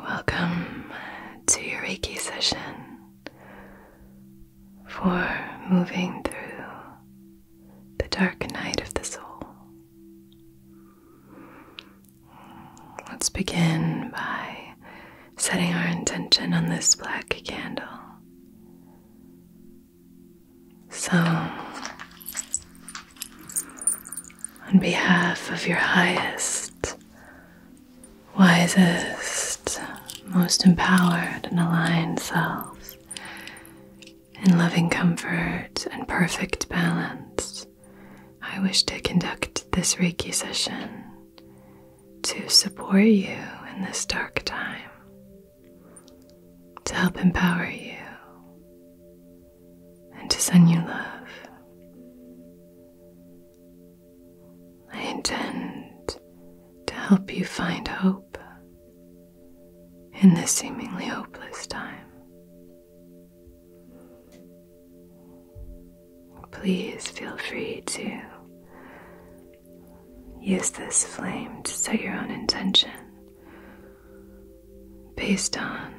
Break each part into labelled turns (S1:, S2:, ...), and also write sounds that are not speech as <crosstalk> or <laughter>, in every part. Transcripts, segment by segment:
S1: Welcome to your Reiki session for moving through the dark night of the soul. Let's begin by setting our intention on this black candle. So, on behalf of your highest wisest, most empowered, and aligned selves in loving comfort and perfect balance, I wish to conduct this Reiki session to support you in this dark time, to help empower you, and to send you love. I intend to help you find hope
S2: in this seemingly hopeless
S1: time. Please feel free to use this flame to set your own intention based on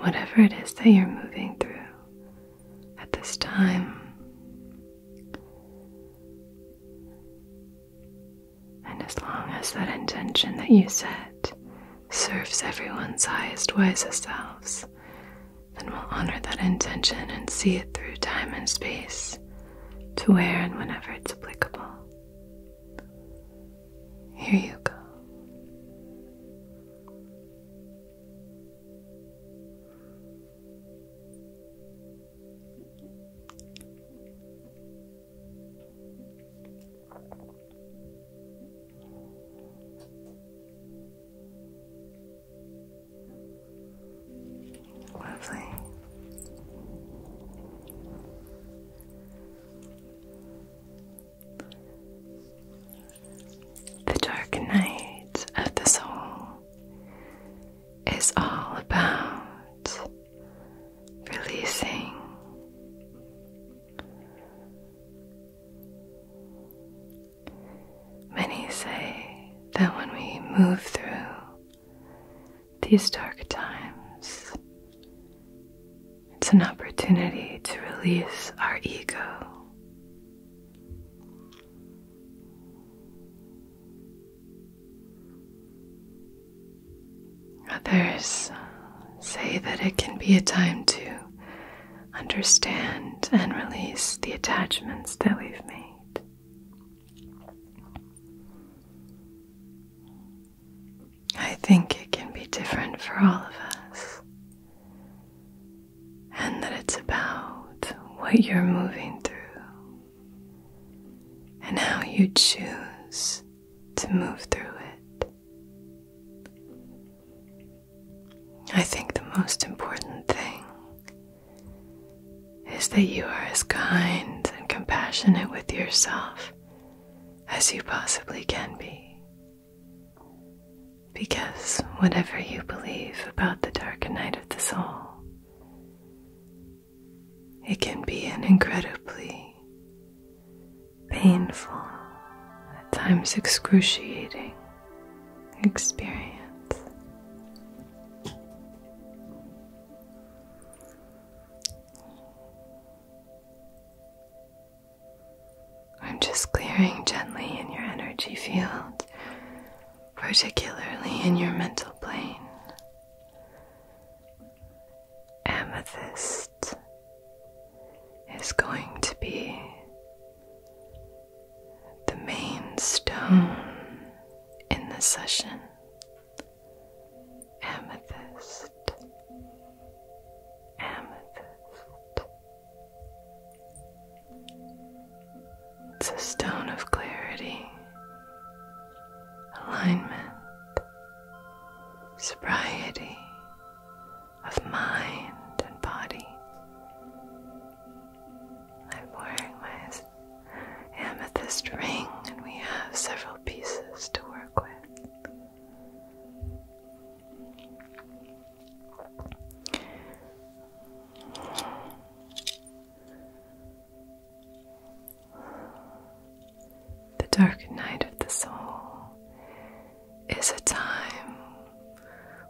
S1: whatever it is that you're moving through at this time. And as long as that intention that you set serves everyone's highest, wisest selves, then we'll honor that intention and see it through time and space to where and whenever it's applicable. Here you go. Lovely. The dark night of the soul is all about releasing. Many say that when we move through these dark times, it's an opportunity to release our ego. Others say that it can be a time to understand and release the attachments that we've made. I think it can be different for all of us, and that it's about what you're moving through and how you choose to move through it. I think the most important thing is that you are as kind and compassionate with yourself as you possibly can be. Because whatever you believe about the darker night of the soul, it can be an incredibly painful, at times excruciating experience. I'm just clearing gently in your energy field particularly in your mental plane. Amethyst
S2: is going to be
S1: the main stone in the session. Amethyst. Amethyst. It's a stone of clarity, alignment, sobriety of mind and body. I'm wearing my amethyst ring, and we have several pieces to work with. The dark night of the soul is a time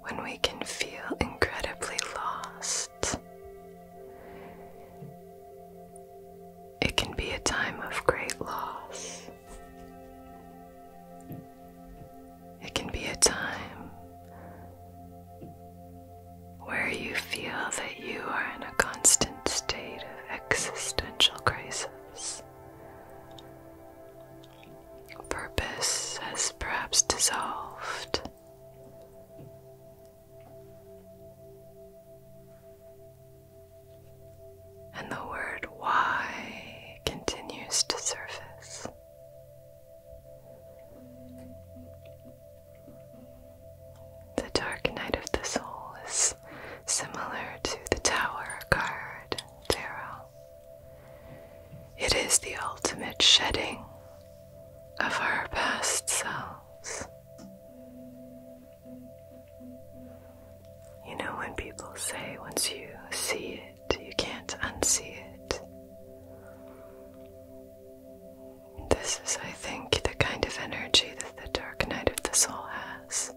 S1: when we can feel incredibly lost. It can be a time of great loss. It can be a time where you feel that you are in a constant state of existential crisis. Purpose has perhaps dissolved. And the word why continues to surface. The Dark Night of the Soul is similar to the Tower card tarot. It is the ultimate shedding of our past selves. You know, when people say once you see it, you can't unsee it. This is, I think, the kind of energy that the dark night of the soul has.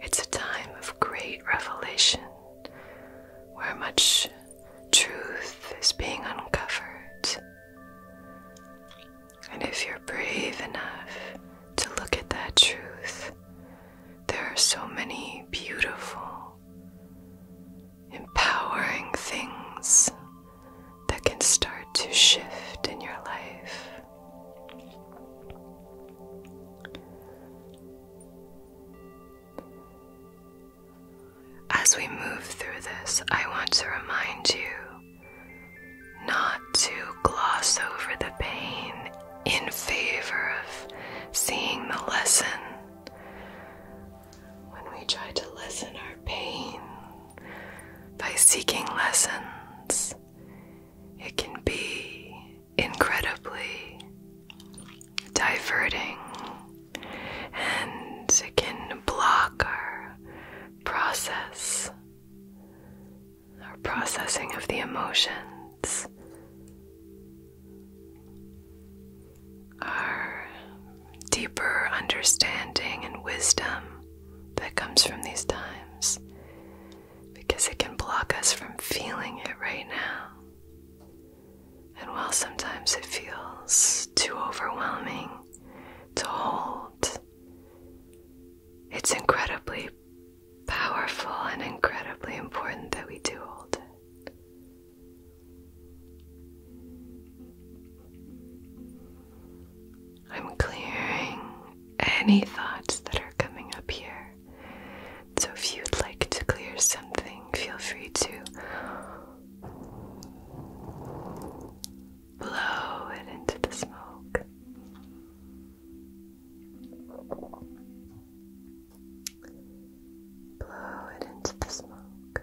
S1: It's a time of great revelation where much truth is being uncovered. And if you're brave enough to look at that truth, there are so many beautiful, empowering things that can start to shift in your life. As we move through this, I want to remind you not to gloss over the pain in favor of seeing the lesson when we try to lessen our pain by seeking lessons, it can be incredibly diverting and it can block our process, our processing of the emotions our deeper understanding and wisdom that comes from these times because it can block us from feeling it right now. And while sometimes it feels too overwhelming to hold, it's incredibly powerful and incredibly important that we do hold it. I'm clearing any thoughts that are coming up here. So if you'd like to clear something, feel free to blow it into the smoke. Blow it into the smoke.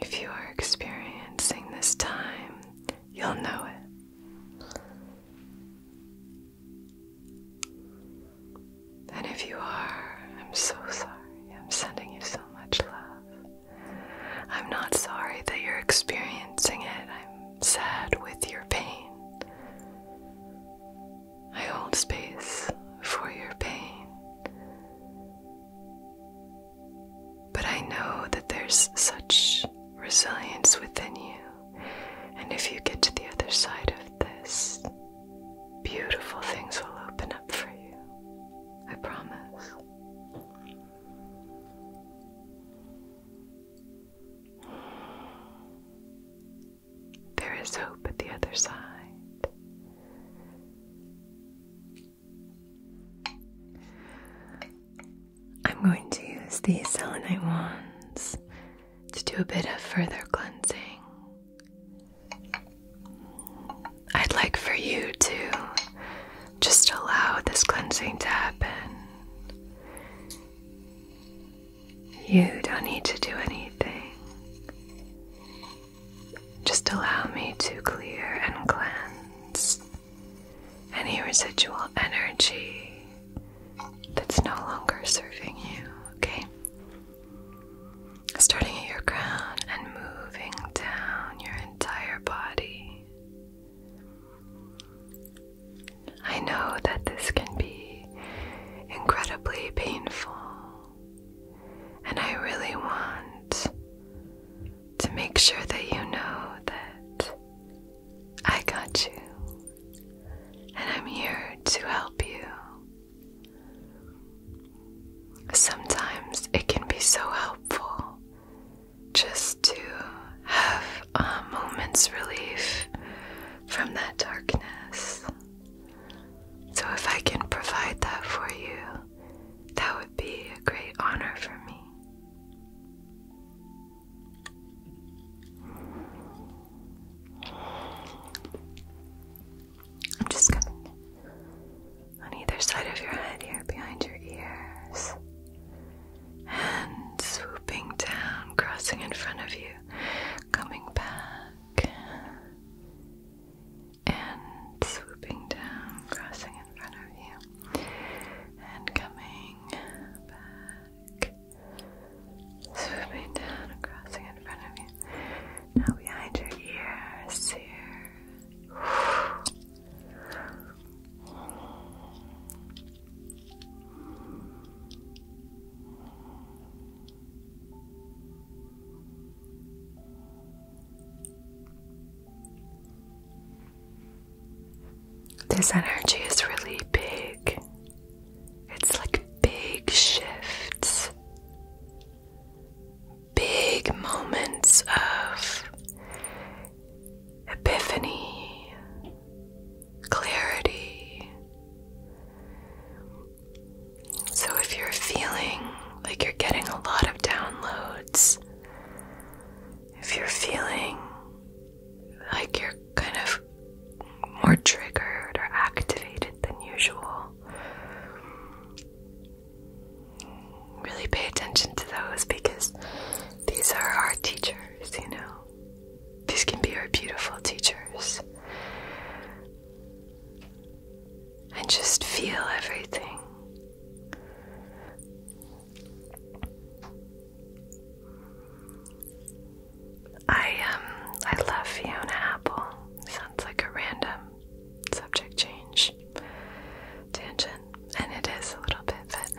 S1: If you are experiencing this time, you'll know it. And if you are, I'm so sorry. I'm sending you so much love. I'm not sorry that you're experiencing it. I'm sad with your pain. I hold space for your pain. But I know that there's such resilience within you. And if you get to the other side of this, beautiful things will open up for you. I promise. There is hope at the other side. I'm going to use these selenite wands to do a bit of further cleansing. I'd like for you to just allow this cleansing to happen. You don't need to do anything. Just allow me to clear and cleanse any residual energy that's no longer serving you, okay? Starting at your crown and moving down your entire body. I know that this can be incredibly painful and I really want to make sure that you know that I got you and I'm here to help you. Sometimes it can be so helpful just to have a um, moment's relief from that darkness. So, if I can provide that for you, that would be a great honor for me. I'm just gonna on either side of your head here, behind your ears, and swooping down, crossing in front of you, coming back and swooping down, crossing in front of you, and coming back, swooping down crossing in front of you. Now behind your ears here. This energy is really big. It's like big shifts, big moments of epiphany, clarity, so if you're feeling like you're getting a lot of downloads, if you're feeling like you're kind of more triggered or activated than usual, really pay attention to those because these are our teachers, you know. These can be our beautiful teachers. I just feel everything. I um I love Fiona Apple. Sounds like a random subject change tangent, and it is a little bit, but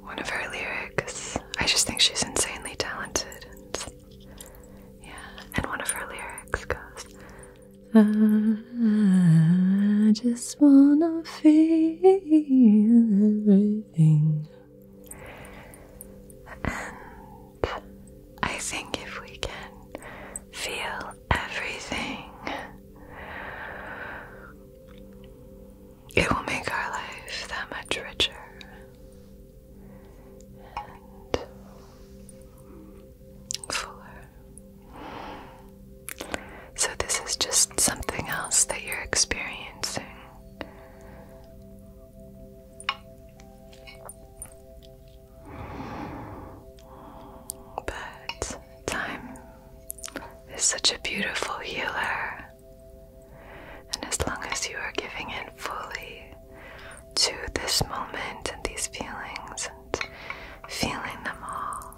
S1: one of her lyrics. I just think she's insanely talented yeah, and one of her lyrics goes, I, just wanna feel everything. And I think if we can feel everything, it will make our life that much richer. So, this is just something else that you're experiencing. But time is such a beautiful healer, and as long as you are giving it fully, to this moment and these feelings and feeling them all,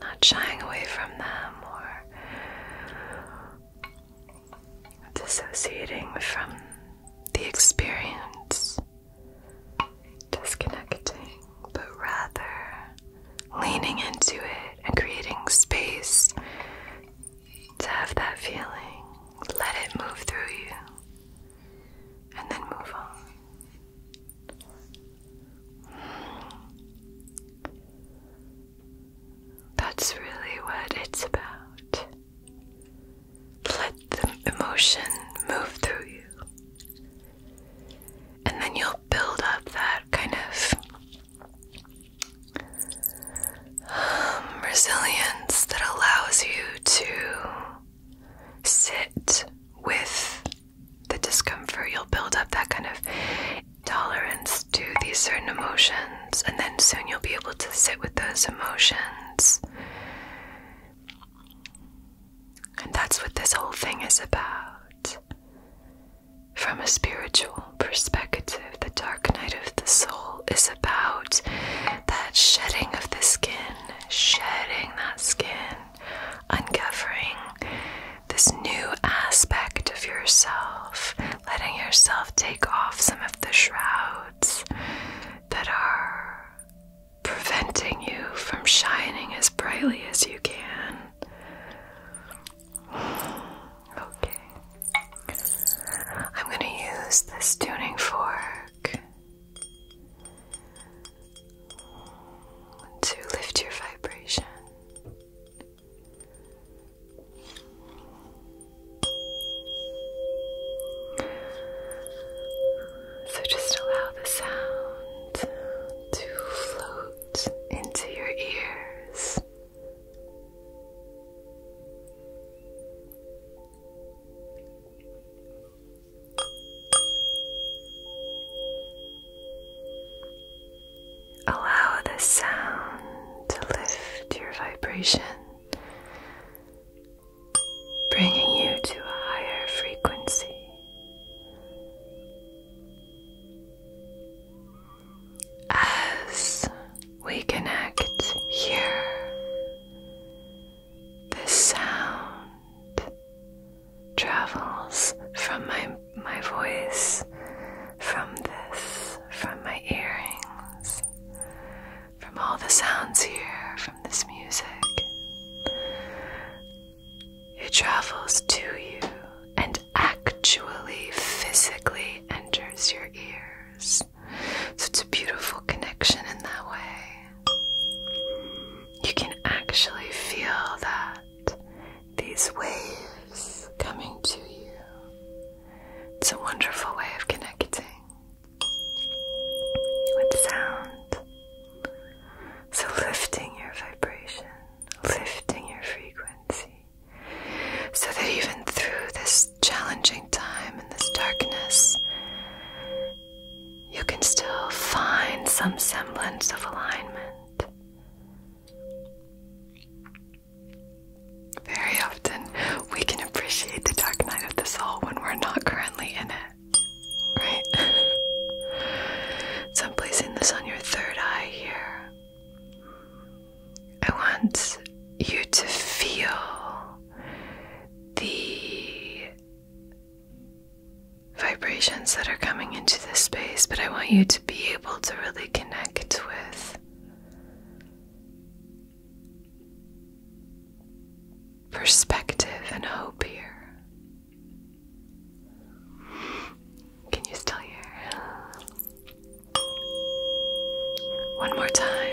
S1: not shying away from them or dissociating from the experience, disconnecting, but rather leaning into it and creating space to have that feeling. Let it move through you and then move on. That's really what it's about. Let the emotion move through you. And then you'll build up that kind of um, resilience that allows you to sit with the discomfort. You'll build up that kind of tolerance to these certain emotions, and then soon you'll be able to sit with those emotions. And that's what this whole thing is about. From a spiritual perspective, the dark night of the soul is about that shedding of the skin shedding that skin, uncovering this new aspect of yourself, letting yourself take off some of the shrouds that are preventing you from shining as brightly as you can. Okay. I'm going to use this tuning fork to lift your vibration. So just allow the sound to float into your ears. Allow the sound to lift your vibration, bringing you to a higher frequency. As we connect here the sound travels from my my voice, from this, from my earrings, from all the sounds here, from this music. It travels to you and actually physically enters your ears. So it's a beautiful connection in that way. You can actually feel that these waves coming to you. It's a wonderful way of connecting with sound. So, lifting your vibration, lifting your frequency, so that even through this challenging time in this darkness, you can still find some semblance of alignment. Very often, we can appreciate the dark night of the soul when we're not currently in it, right? so I'm placing this on your third eye here. I want you to feel the vibrations that are coming into this space, but I want you to be able to really connect with perspective and hope here. Can you still hear? One more time.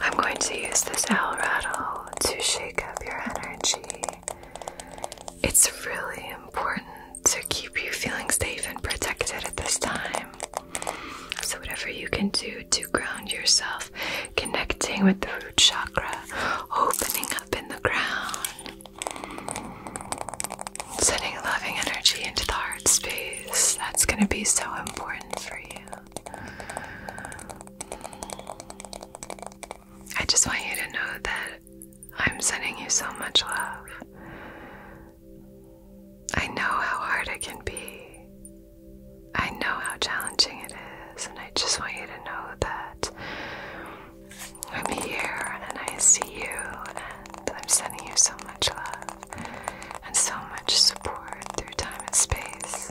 S1: I'm going to use this owl rattle to shake up your energy. It's really important to keep you feeling safe and protected at this time. So, whatever you can do to ground yourself, connecting with the root chakra, opening up in the ground, sending loving energy into the heart space, that's going to be so important for you. I just want you to know that I'm sending you so much love. I know how hard it can be. I know how challenging it is, and I just want you to know that I'm here and I see you, and I'm sending you so much love and so much support through time and space.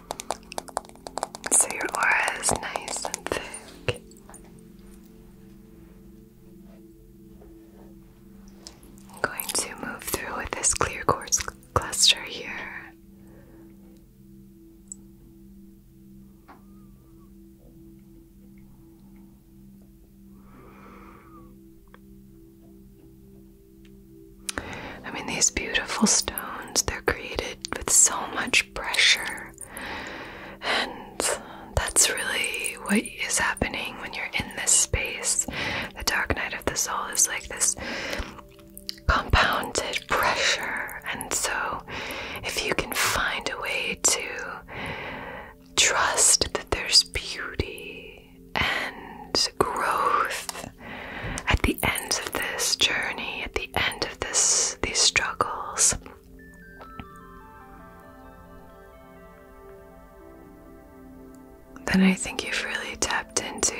S1: So your aura is nice and thick. I'm going to move through with this clear quartz cluster here. I mean, these beautiful stones, they're created with so much pressure. And that's really what is happening when you're in this space. The dark night of the soul is like this compounded pressure. And so, if you can find a way to trust that there's beauty and growth at the end of this journey, at the end these struggles. Then I think you've really tapped into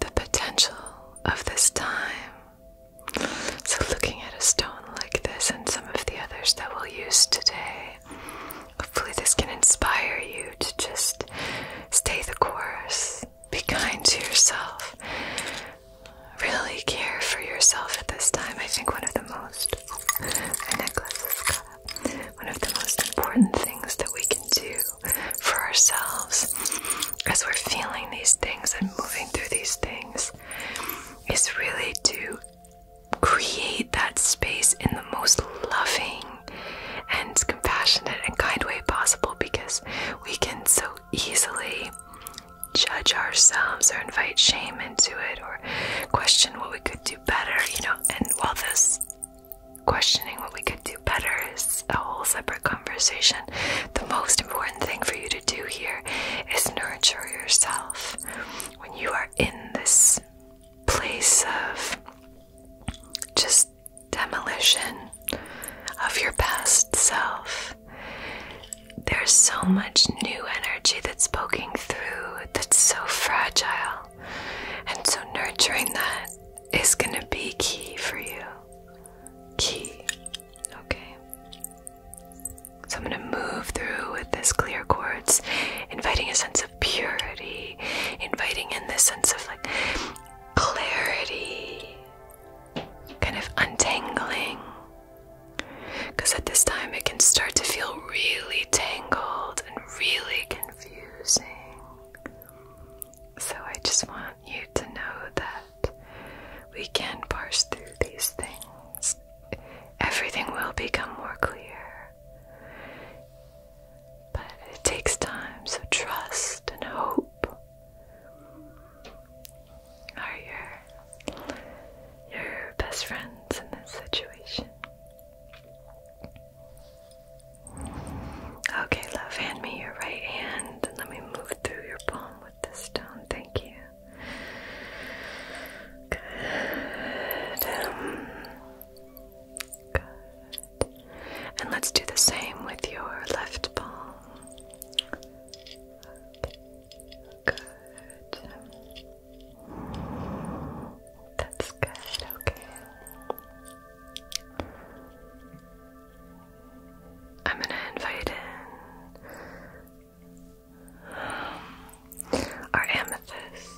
S1: the potential of this time. So, looking at a stone like this and some of the others that we'll use today, hopefully, this can inspire you to just stay the course be kind to yourself. Really care for yourself at this time. I think one of the most One of the most important things that we can do for ourselves as we're feeling these things and moving through these things is really to create that space in the most loving and compassionate and kind way possible because we can so easily judge ourselves or invite shame into it or question what we could do better, you know. And while this questioning what we could do better is a whole separate conversation, the most important thing for you to do here is nurture yourself. When you are in this place of just demolition of your past self. There's so much new energy that's poking through that's so fragile. And so, nurturing that is going to be key for you. Key. Okay. So, I'm going to move through with this clear quartz, inviting a sense of purity, inviting in this sense of like clarity, kind of untangling. Because at this time it can start to feel really tangled and really confusing. So I just want you to know that we can parse through these things. Everything will become more clear. But it takes time, so trust and hope are your your best friends in this situation. Okay, love, hand me your right hand and let me move through your palm with the stone. Thank you. Good. Um, good. And let's do the same with your left palm. Good. That's good, okay. I'm gonna invite in our amethyst.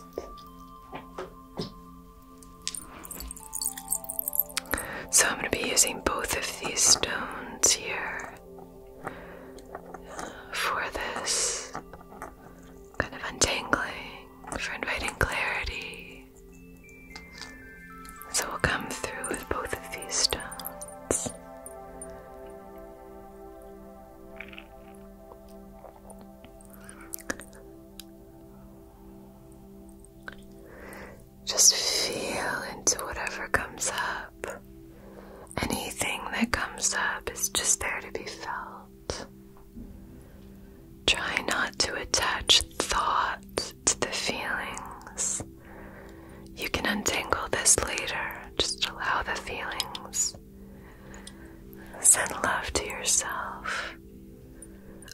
S1: So I'm going to be using both of these stones here uh, for this kind of untangling, for inviting clarity. So we'll come through with both of these stones. Just feel into whatever comes up. Anything that comes up is just there to be felt. Try not to attach thought to the feelings. You can untangle this later. Just allow the feelings. Send love to yourself.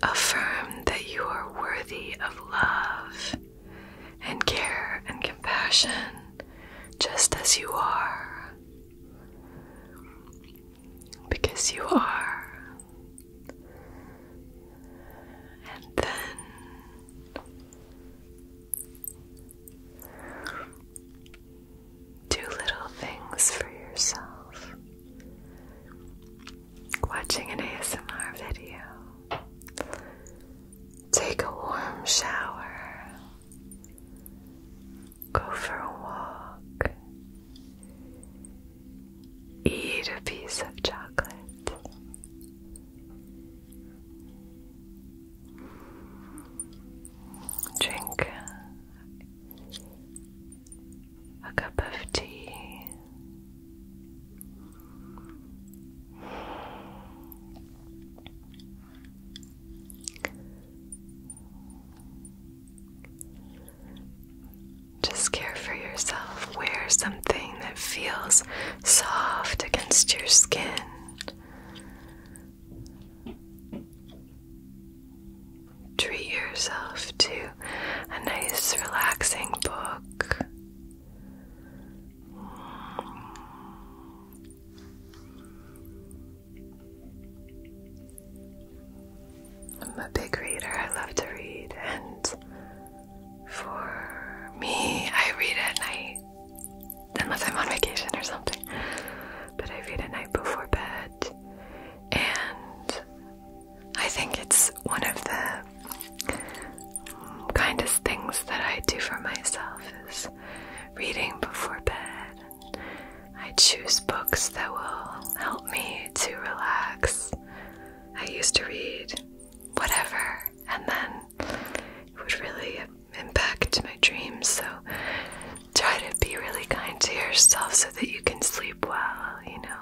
S1: Affirm that you are worthy of love and care and compassion just as you are. Because you are. And then do little things for yourself watching an ASMR video. Take a warm shower. Go for a walk. Eat a piece of chocolate. Drink a cup of tea. Just care for yourself. Wear something that feels soft against your skin. Treat yourself to a nice, relaxing book. I'm a big reader, I love to read, and for me, I read at night, unless I'm on vacation or something. But I read at night before bed, and I think it's one of the kindest things that I do for myself is reading before bed. I choose books that will help me to relax. I used to read whatever and then it would really impact my dreams. So try to be really kind to yourself so that you can sleep well, you know.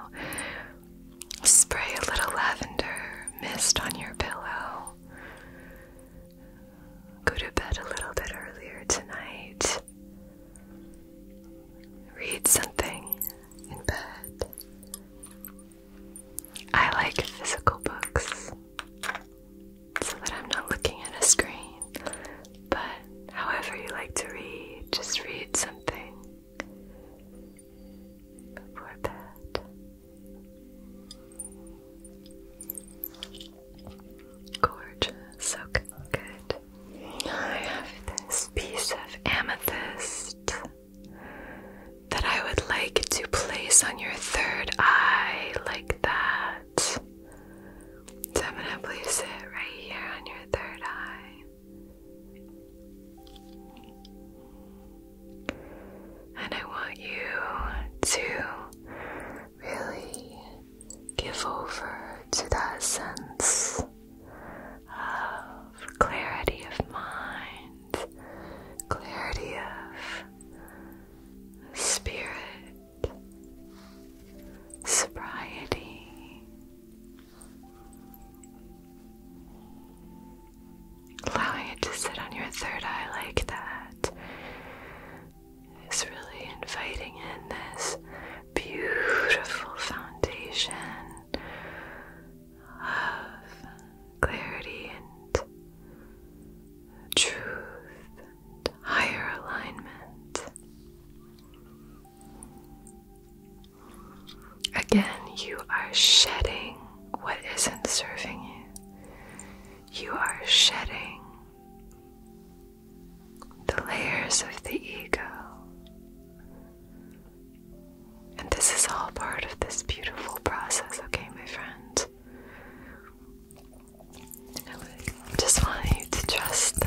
S1: Spray a little lavender mist on your pillow. Go to bed a little bit earlier tonight. Read something in bed. I like physical books so that I'm not looking at a screen. But however you like to read, just read something before bed. Gorgeous, okay, good. I have this piece of amethyst that I would like to place on your third eye, like that. I'm gonna place it right here on your third eye. And I want you to really give over to that sense of clarity of mind, clarity of spirit, sobriety. Allowing it to sit on your third eye like that is really inviting in this beautiful foundation of clarity and truth higher alignment. Again, you are shedding what isn't serving you. You are shedding the layers of the ego. And this is all part of this beautiful process, okay, my friend. just want you to trust that.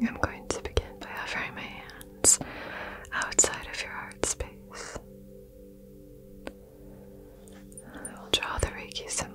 S1: I'm going to begin by hovering my hands outside of your heart space. I will draw the Reiki symbol.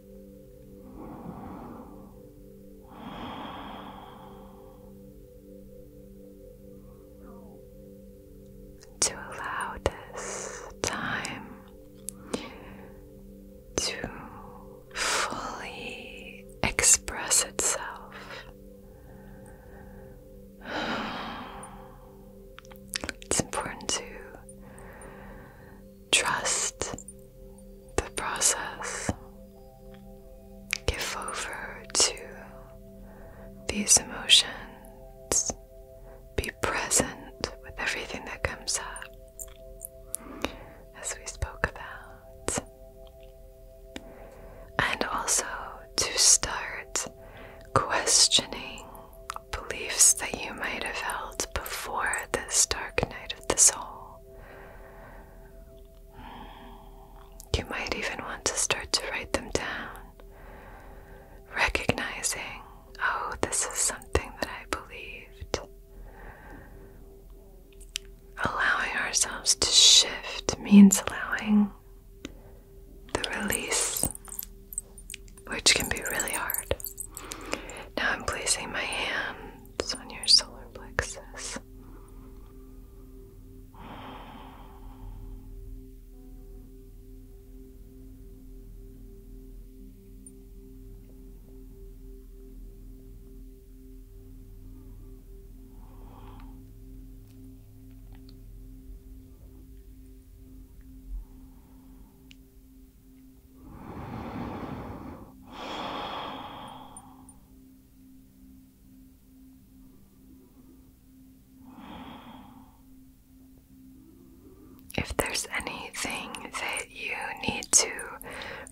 S1: To allow this time to fully express itself. It's important to trust the process, give over to these emotions, be present with everything that comes up, as we spoke about, and also to start questioning beliefs that you might have held before this dark night of the soul. You might even want to start to write them down, recognizing, oh, this is something that I believed. Allowing ourselves to shift means allowing the release, which can be really hard. Now I'm placing my hand on your solar plexus. If there's anything that you need to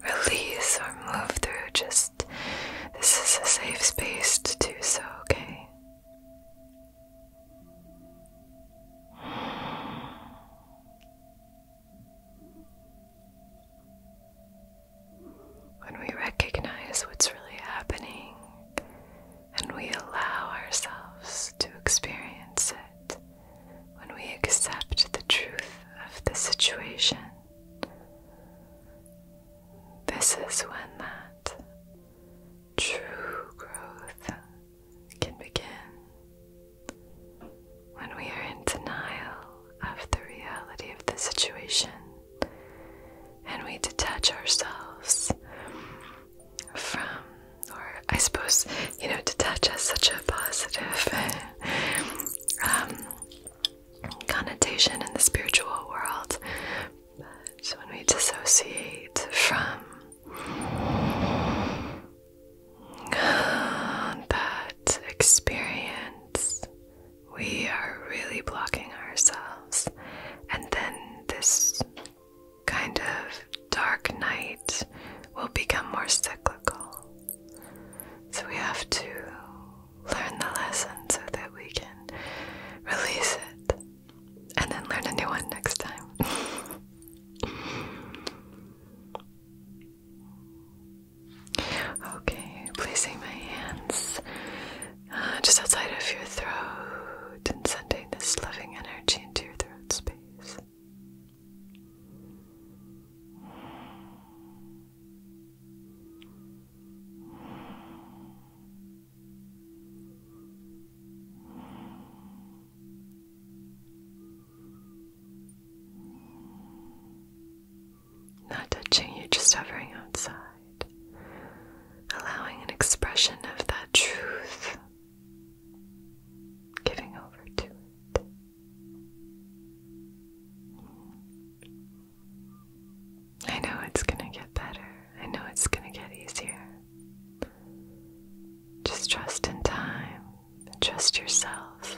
S1: release or move through, just this is a safe space to do so, okay? When we recognize what's really happening and we allow ourselves to experience it, when we accept the truth of the situation, this is when that true growth can begin. When we are in denial of the reality of the situation and we detach ourselves from, or I suppose, you know, detach has such a positive <laughs> um, connotation in the spiritual world, but when we dissociate from <sighs> that experience, we are really blocking ourselves. And then this kind of dark night will become more cyclical. So we have to learn the lesson so that we can release it and then learn a new one next time. <laughs> Okay, placing my hands uh, just outside of your throat and sending this loving energy into your throat space. Not touching you, just hovering outside, allowing an expression of that truth, giving over to it. I know it's going to get better, I know it's going to get easier. Just trust in time. Trust yourself.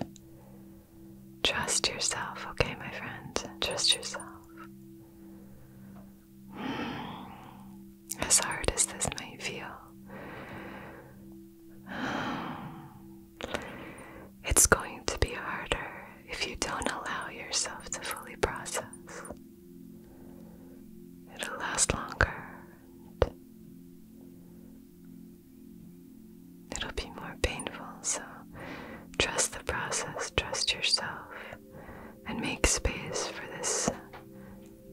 S1: Trust yourself, okay, my friend? Trust yourself. Hmm. As hard as this might feel, <sighs> it's going to be harder if you don't allow yourself to fully process. It'll last longer. It'll be more painful, so trust the process, trust yourself, and make space for this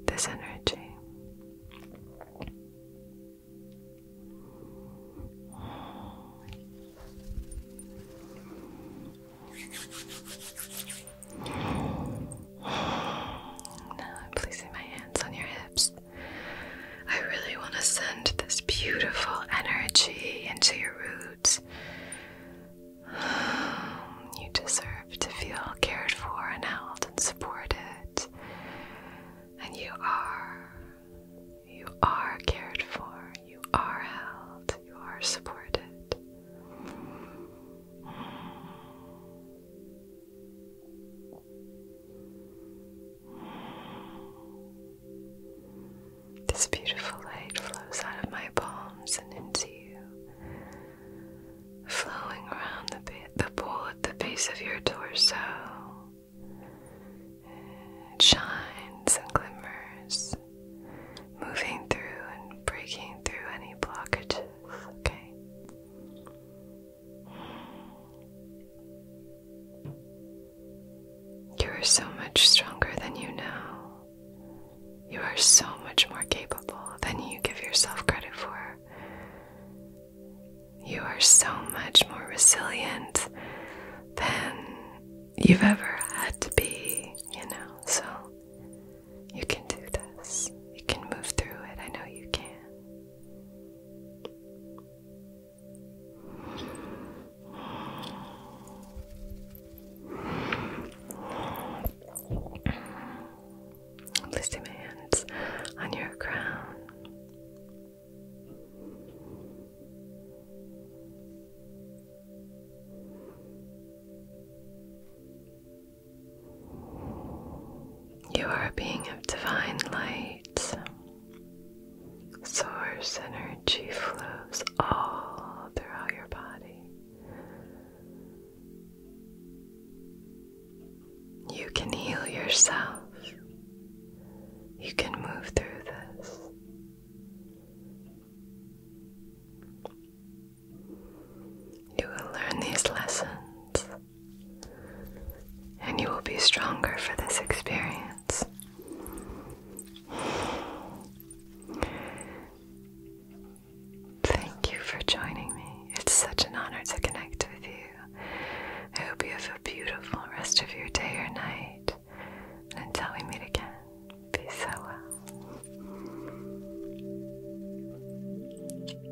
S1: this energy. Now I'm placing my hands on your hips. I really want to send this beautiful energy into your roots. <sighs> You deserve to feel cared for and held and supported. And you are. You are cared for. You are held. You are supported. This beautiful light flows out of my palms and into you, flowing around the, the bowl at the base of your torso. It shines and glimmers, moving through and breaking through any blockages, okay? You are so much stronger than you know. You are so much more capable than you give yourself credit for. You are so much more resilient than you've ever had to be, you know. So you can do this. You can move through it. I know you can. Placing my hands on your crown. You are a being of divine light heart. Source energy flows all throughout your body. You can heal yourself. You can move through this. You will learn these lessons and you will be stronger for this experience. Thank you for joining me. It's such an honor to connect with you. I hope you have a beautiful rest of your day or night. And until we meet again, be so well. Hello,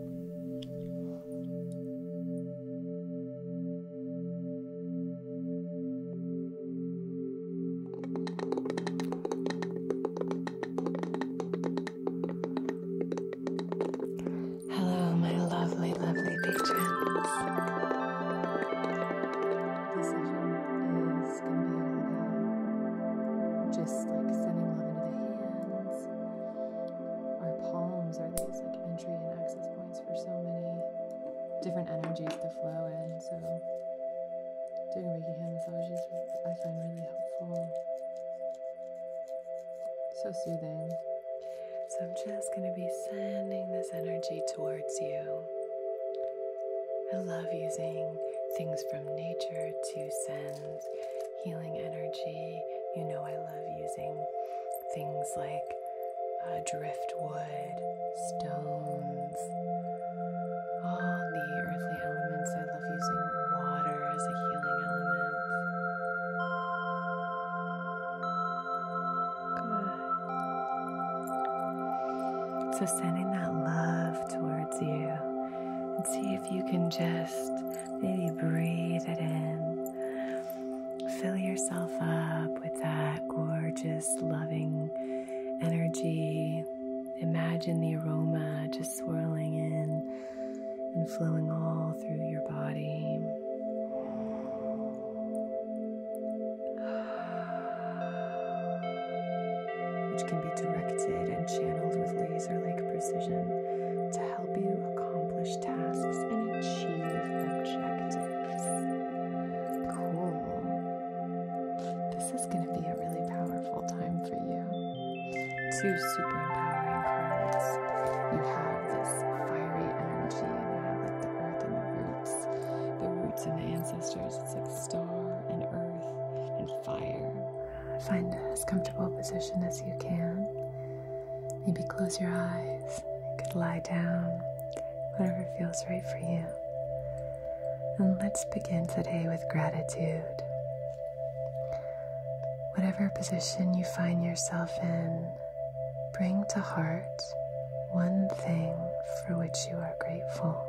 S1: my lovely, lovely patrons. This session is going to be all about just like sending love into the hands our palms are these like entry and access points for so many different energies to flow in. So doing Reiki hand massage is I find really helpful. So soothing. So I'm just going to be sending this energy towards you. I love using things from nature to send healing energy. You know, I love using things like uh, driftwood, stones, all the earthly elements. I love using water as a healing element. Good. So, sending that love towards you and see if you can just Maybe breathe it in. Fill yourself up with that gorgeous, loving energy. Imagine the aroma just swirling in and flowing all through your body. <sighs> Which can be directed and channeled with laser like precision to help you accomplish tasks and achieve objectives. Cool. This is going to be a really powerful time for you. Two super empowering cards. You have this fiery energy, and you have like the earth and the roots, the roots and the ancestors. It's like star and earth and fire. Find as comfortable a position as you can. Maybe close your eyes. You could lie down, whatever feels right for you. And let's begin today with gratitude. Whatever position you find yourself in, bring to heart one thing for which you are grateful.